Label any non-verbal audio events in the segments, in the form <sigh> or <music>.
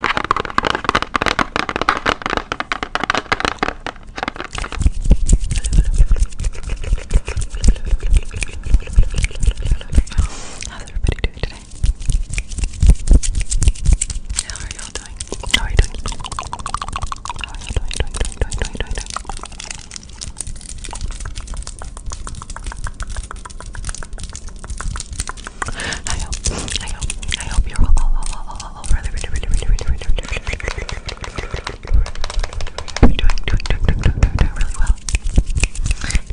How's everybody doing today? How are y'all doing? How are you doing? I hope, I hope, I hope you're all, all, all, all, all, all really, really, really, really, really, really, really, really, really, really, really, doing, doing, doing, doing, doing, doing, doing really well.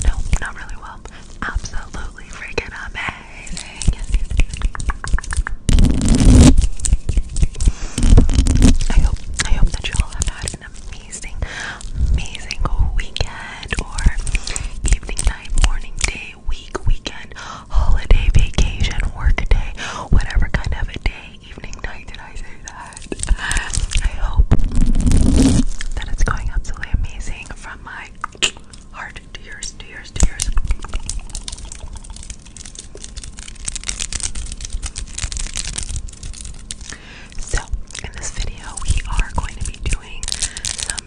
No, not really well. Absolutely freaking amazing. Yes, yes, yes. I hope, I hope that you all have had an amazing, amazing weekend or evening, night, morning, day week, weekend, holiday, vacation, work day, whatever kind of a day, evening, night, did I say that? I hope that it's going absolutely amazing from my heart to yours, to yours, to yours. So, in this video, we are going to be doing some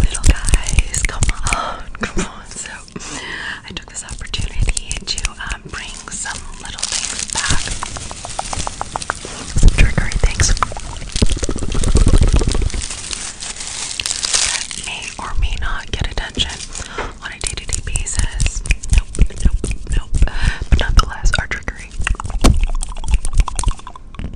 Little, guys, come on, come on. So, I took this opportunity to bring some little things back, trickery things that may or may not get attention on a day to day basis. Nope, nope, nope. But nonetheless, are trickery. So what do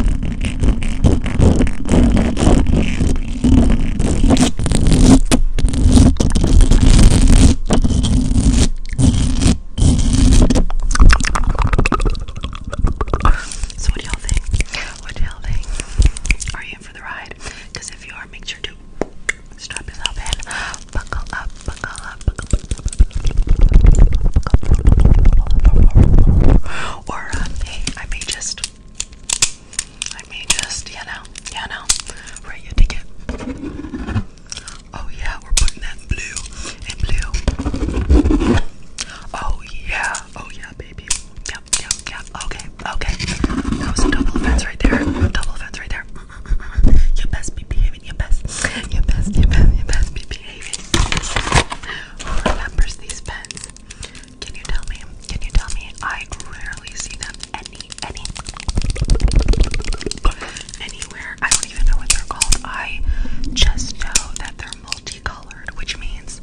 y'all think? What do y'all think? Are you in for the ride? Because if you are, make sure to strap yourself in, buckle up, buckle up, buckle up. Or um, hey, I may just, I may just, you know, you know, write your ticket. Oh yeah, we're putting that in blue and blue. Oh yeah, oh yeah, baby. Yep, yep, yep. Okay, okay. That was a double offense right there. Double offense right there. You best be behaving. You best. You best. You best. You best be behaving. Who remembers these pens? Can you tell me? Can you tell me? I rarely see them any, any, anywhere. I don't even know what they're called. I just know that they're multicolored, which means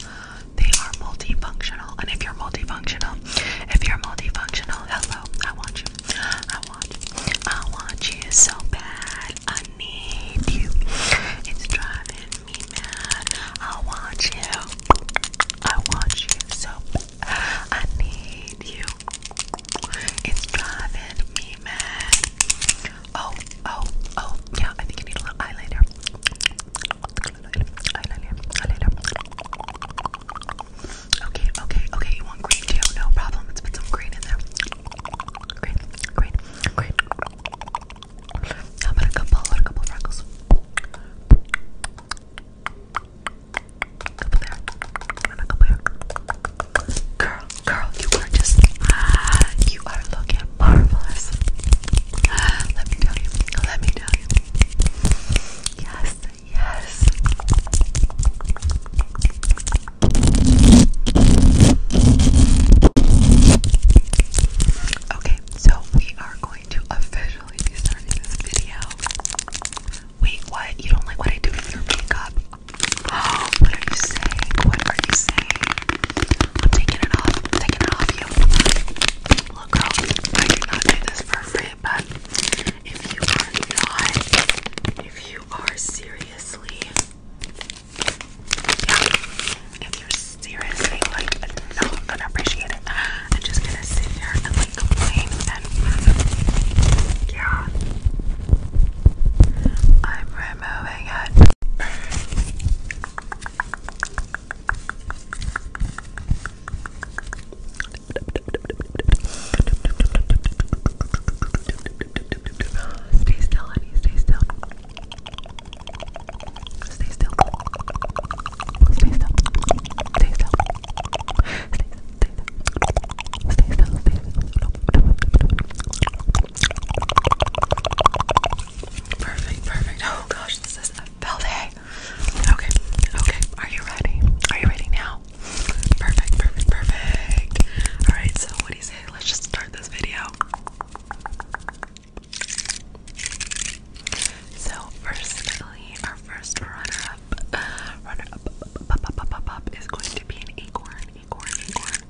they are multifunctional. And if you're multifunctional, if you're multifunctional, hello, I want you. I want you. I want you so bad. I need you. It's driving me mad. I want you. I want you so I need you. It's driving me mad. Oh, oh, oh. Yeah, I think you need a little eyeliner. Eyeliner, eyeliner. Okay, okay, okay. You want green too? No problem. Let's put some green in there. Great, great, great. How about a couple or a couple freckles? couple there. couple here. Girl, girl, you are just ah, you are looking marvelous. Ah, let me tell you. Let me tell you. Yes, yes. Okay, so we are going to officially be this video. Wait, what? You don't like what I do with your makeup? <gasps> what are you saying? What are you saying? I'm taking it off. taking it off Look, girl, I do not do this for free, but if you are if you are seriously if you're seriously like not gonna appreciate it, I'm just gonna sit here and like complain and yeah. I'm removing it. Stay still, honey. Stay still. Stay still. Stay still. Stay still. Stay still. Stay still. Perfect. Perfect. Oh gosh, this is a bell day. Okay. Okay. Are you ready? Are you ready now? Perfect. Perfect. Perfect. All right. So what do you say? let's just start this video. So, firstly, our first runner-up, uh, runner-up, up, up, up, up, up, is going to be an acorn, acorn, acorn.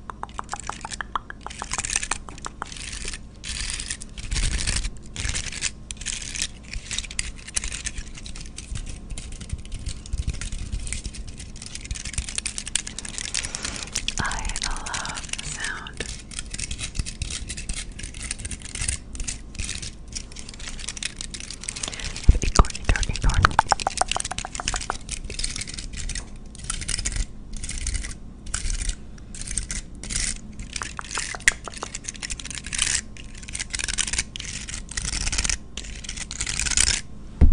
I love the sound. Acorn, acorn, acorn. I love,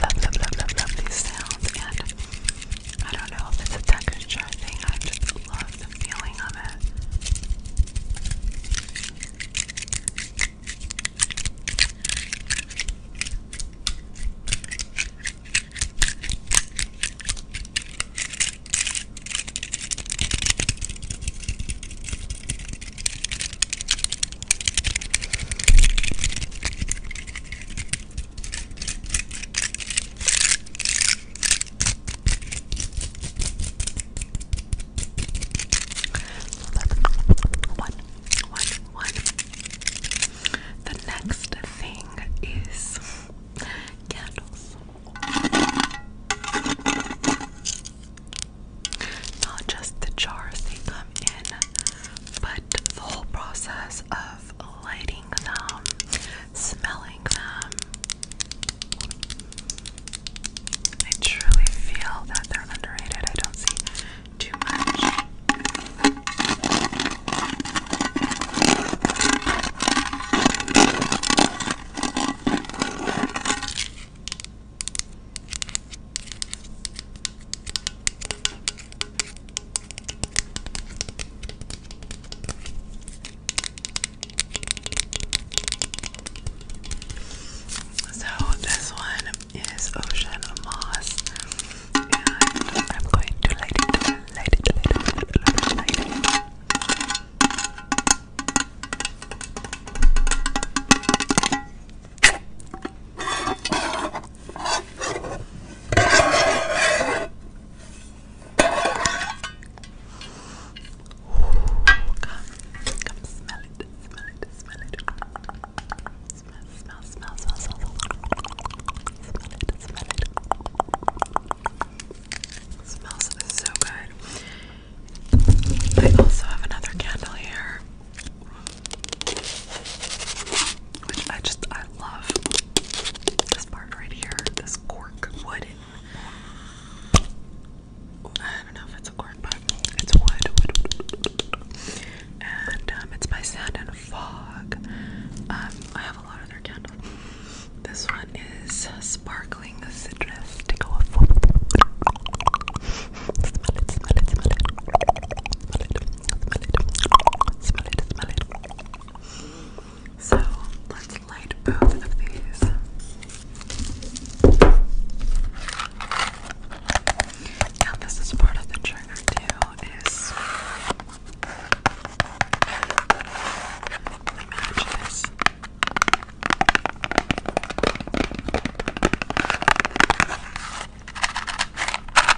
love, love, love, love these sounds, and I don't know if it's a texture thing. i I love the feeling of it. One, one, one. The next thing is candles. Not just the jars they come in, but the whole process of lighting smelling them. I truly feel that they're underrated. I don't see too much. So this one is Ocean Moss, and I'm going to light it, light it, light it, light it, light it, light it. Come, come smell it, smell it, smell it. Smell, smell, smell, smell, smell. Smell it, smell It smells so good. I also have another candle here which I just I love this part right here, this cork wooden. I don't know if it's a cork, but it's wood, and um, it's by Sand and Fog. Um, I have a lot of their candles. This one is sparkling citrus to go off. So let's light both of these. And this is part of the trigger too, is the matches.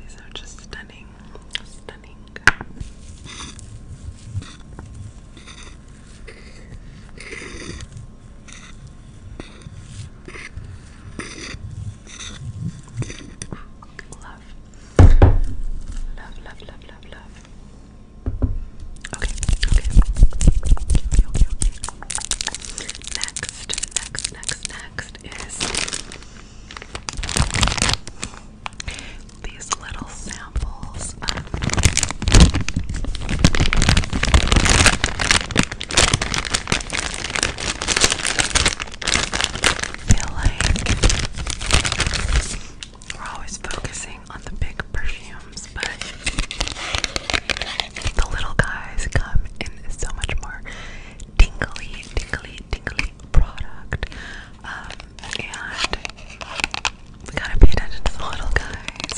These are just stunning, stunning. Love. Love, love, love, love, Okay, okay. Okay, okay, okay next, next, next, next is these little samples of feel like we're always focusing on the big perfumes, but the little guys come in so much more tingly, tingly, tingly product. Um, we gotta pay attention to the little guys,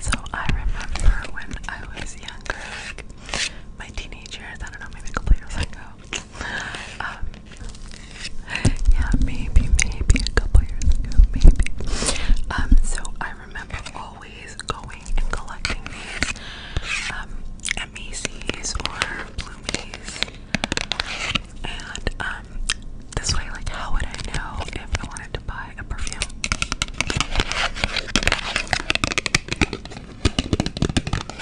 So I remember when I was younger, my teenage years, I don't know, maybe a couple years um, yeah, maybe, maybe a couple years ago, maybe. Um, so I remember always going and collecting these um, at Macy's or Bloomies. And um, this way, like, how would I know if I wanted to buy a perfume?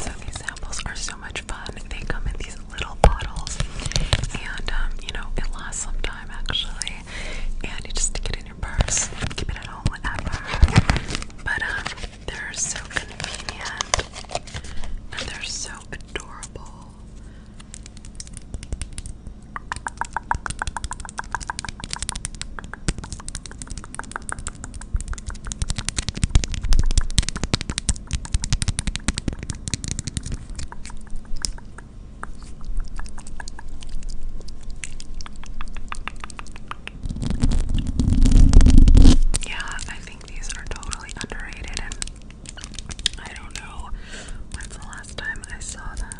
So these samples are so much fun. They come in these little bottles, and um, you know it lasts some time actually. And you just stick it in your purse, keep it at home, whatever. But um, they're so convenient, and they're so adorable. Yeah, I think these are totally underrated, and I don't know when's the last time I saw them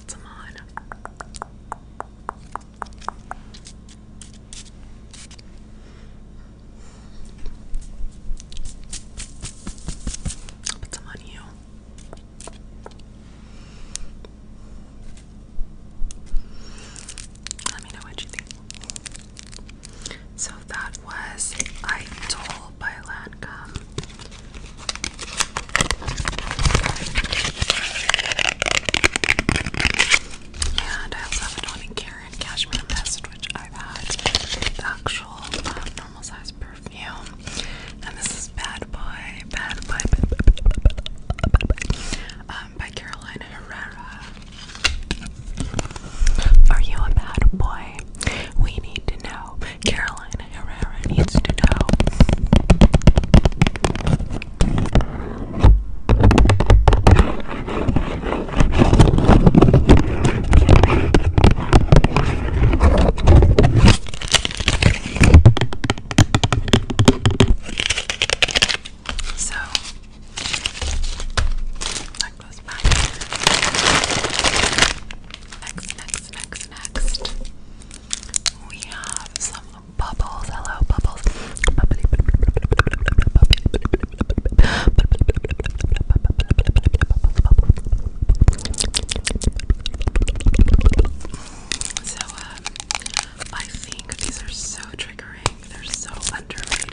put some on. put some on you. Let me know what you think. So that was I Told by Lancome. And I also have a 20 karat cashmere mist, which I've had the actual um, normal size perfume. And this is Bad Boy, Bad Boy, um, by Carolina Herrera. Are you a bad boy? we need to know. Carolina Herrera needs to know. So Next, next, next, next, We have some bubbles. Hello, bubbles. so, um, I think these are so triggering. They're so underrated.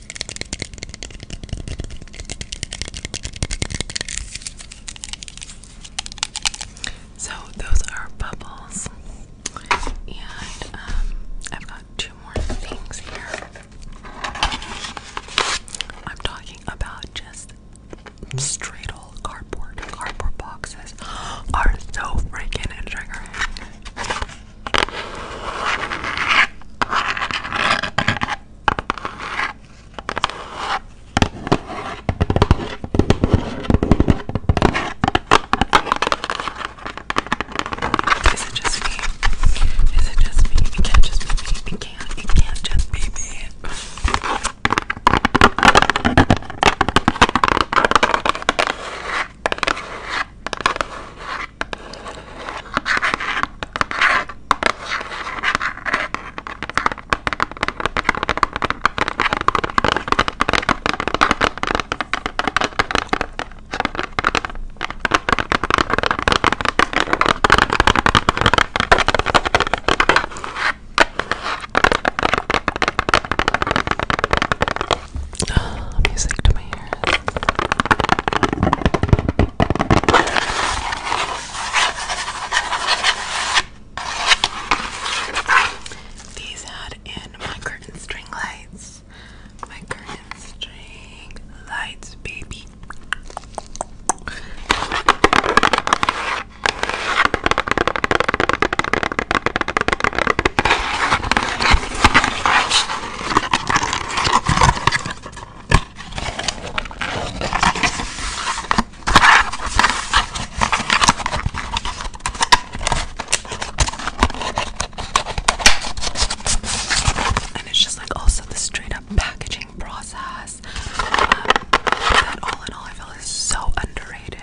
So those are bubbles, and um, I've got two more things here. I'm talking about just straight old cardboard. Cardboard boxes <gasps> are so freaking triggering. Is it just me? Is it just me? It can't just be me. It can't. It can't just be me. Music to my ears. These had in my curtain string lights. My curtain string lights, baby. And it's just like also the straight up packaging process. that um, all in all, I feel is so underrated.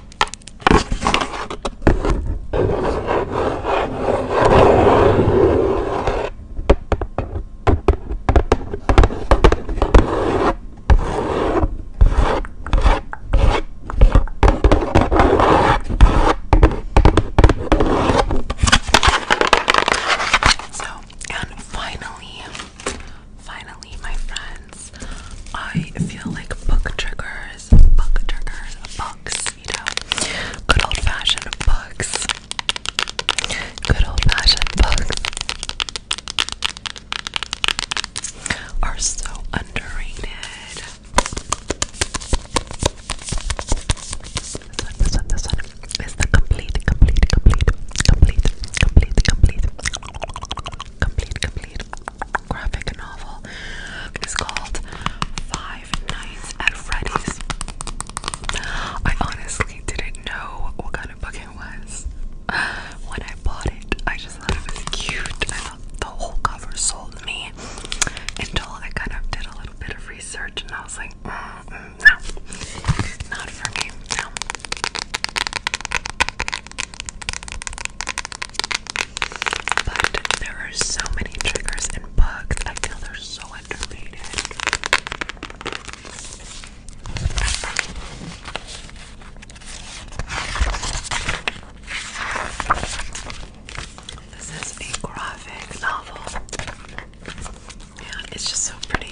So, and finally, Finally, my friends, I feel like book triggers, book triggers, books, you know, good old fashioned books, good old fashioned books are so underrated. This one, this one, this one is the complete, complete, complete, complete, complete, complete complete, complete graphic novel is called Five Nights at Freddy's. I honestly didn't know what kind of book it was. <sighs> When I bought it, I just thought it was cute. I thought the whole cover sold me until I kind of did a little bit of research and I was like, mm, mm, no, not for me. No. But there are so many triggers and bugs. I feel they're so underrated. This is a graphic novel. Yeah, it's just so pretty.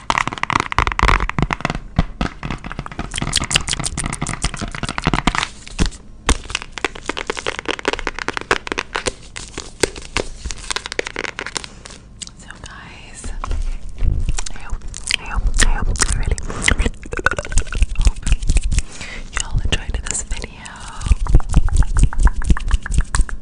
So guys, I hope, I hope, I hope, I really, really hope y'all enjoyed this video.